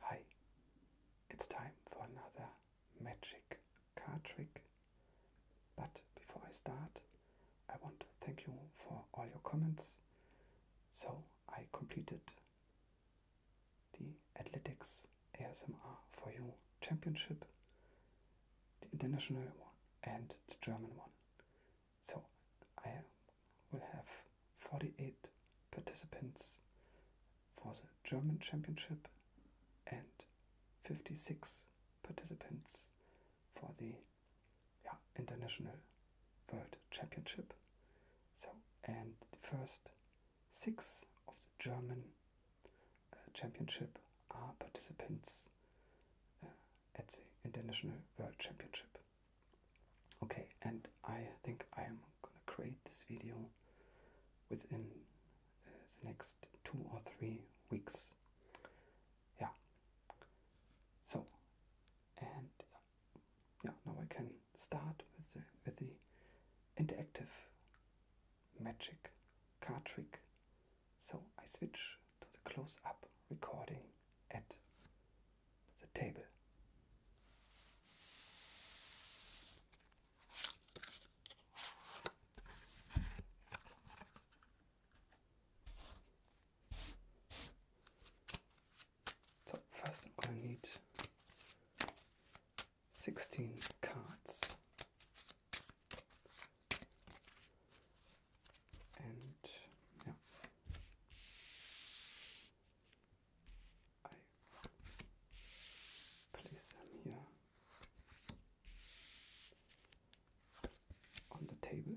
Hi, it's time for another magic card trick. But before I start, I want to thank you for all your comments. So I completed the Athletics ASMR for You Championship, the international one and the German one. So I am will have 48 participants for the German Championship and 56 participants for the International World Championship. So, and the first six of the German uh, Championship are participants uh, at the International World Championship. Okay, and I think I am gonna create this video within uh, the next two or three weeks. Yeah. So, and yeah, now I can start with the, with the interactive magic card trick. So I switch to the close up recording at the table. So first I'm going to need 16 cards and yeah, I place them here on the table.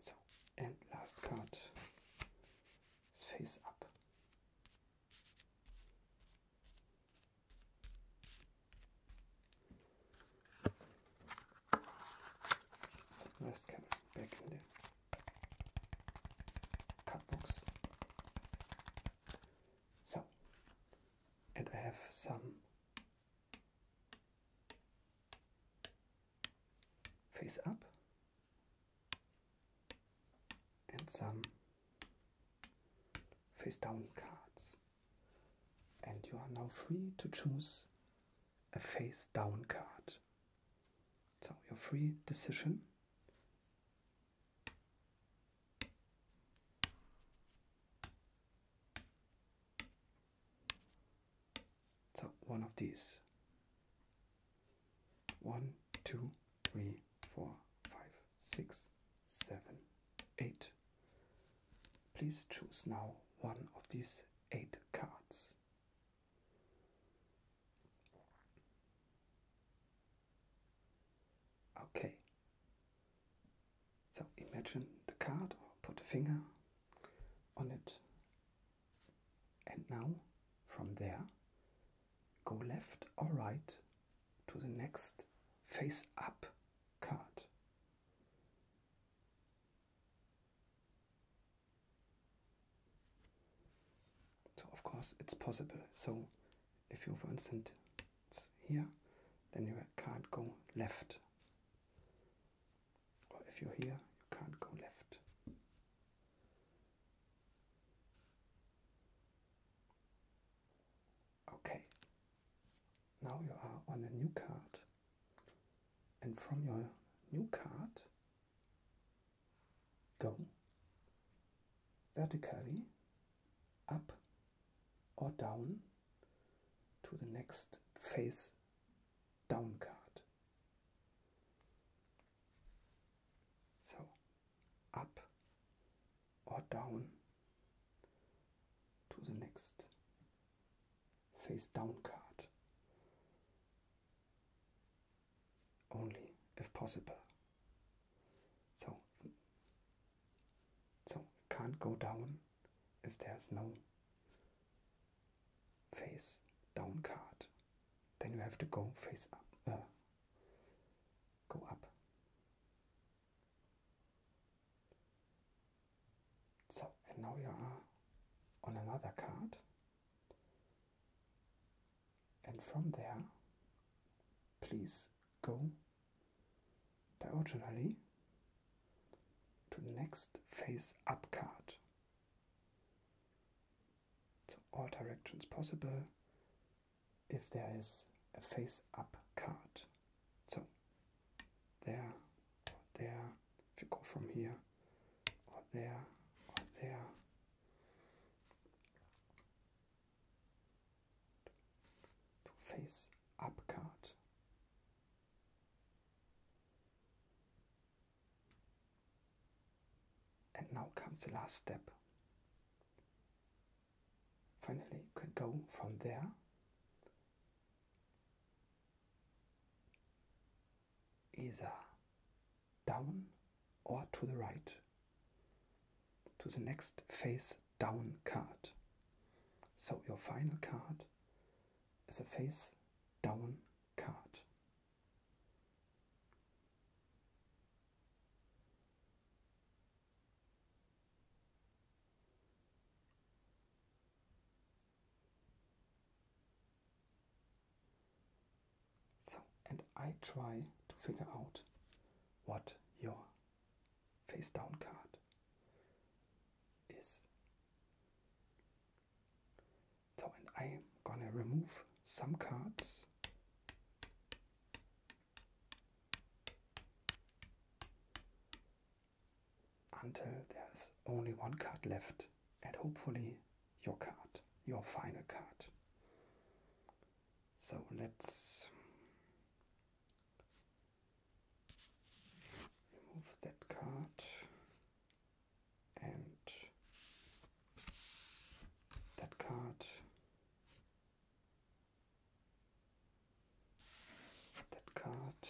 So, and last card is face up. So, last card back in the card box. So, and I have some face up and some face down cards. And you are now free to choose a face down card. So your free decision. So one of these. One, two, three, four, five, six, seven, eight. Please choose now one of these eight cards. Okay, so imagine the card or put a finger on it. And now from there go left or right to the next face up card. So of course it's possible. So if you for instance here, then you can't go left. Or if you're here, you can't go left. Okay, now you are on a new card, and from your new card, go vertically up or down to the next face down card. So up or down to the next face down card. Only if possible. So so it can't go down if there's no face down card. Then you have to go face up, uh, go up. So, and now you are on another card. And from there, please go diagonally to the next face up card. To all directions possible if there is a face up card. So there or there, if you go from here, or there, or there, to face up card. And now comes the last step. Finally, you can go from there either down or to the right to the next face down card. So your final card is a face down card. So, and I try to figure out what your face down card is. So, and I'm gonna remove some cards. Until there's only one card left, and hopefully your card, your final card. So let's remove that card and that card, that card,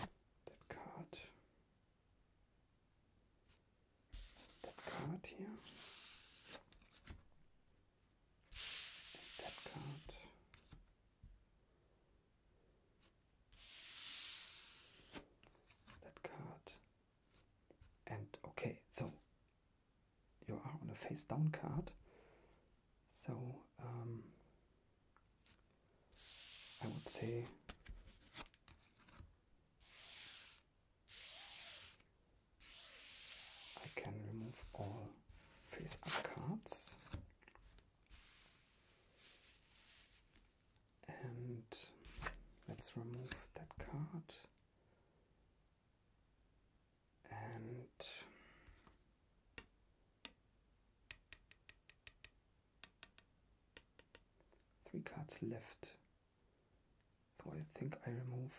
that card, that card here, and that card. That card, and okay, so you are on a face down card, so um, I would say I can remove all face up cards and let's remove that card and Three cards left. So I think I remove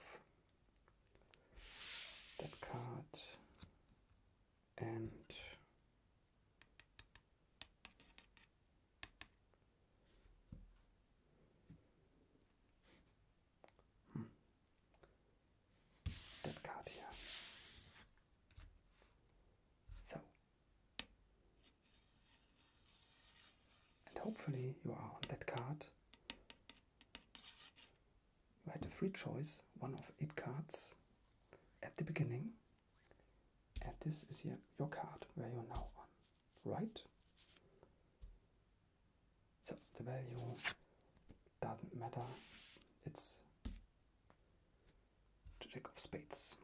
that card and that card here. So, and hopefully you are on that card. You had a free choice, one of eight cards at the beginning, and this is your, your card where you're now right? So the value doesn't matter. It's the Jack of Spades.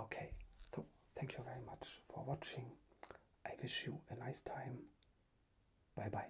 Okay, so thank you very much for watching. I wish you a nice time. Bye bye.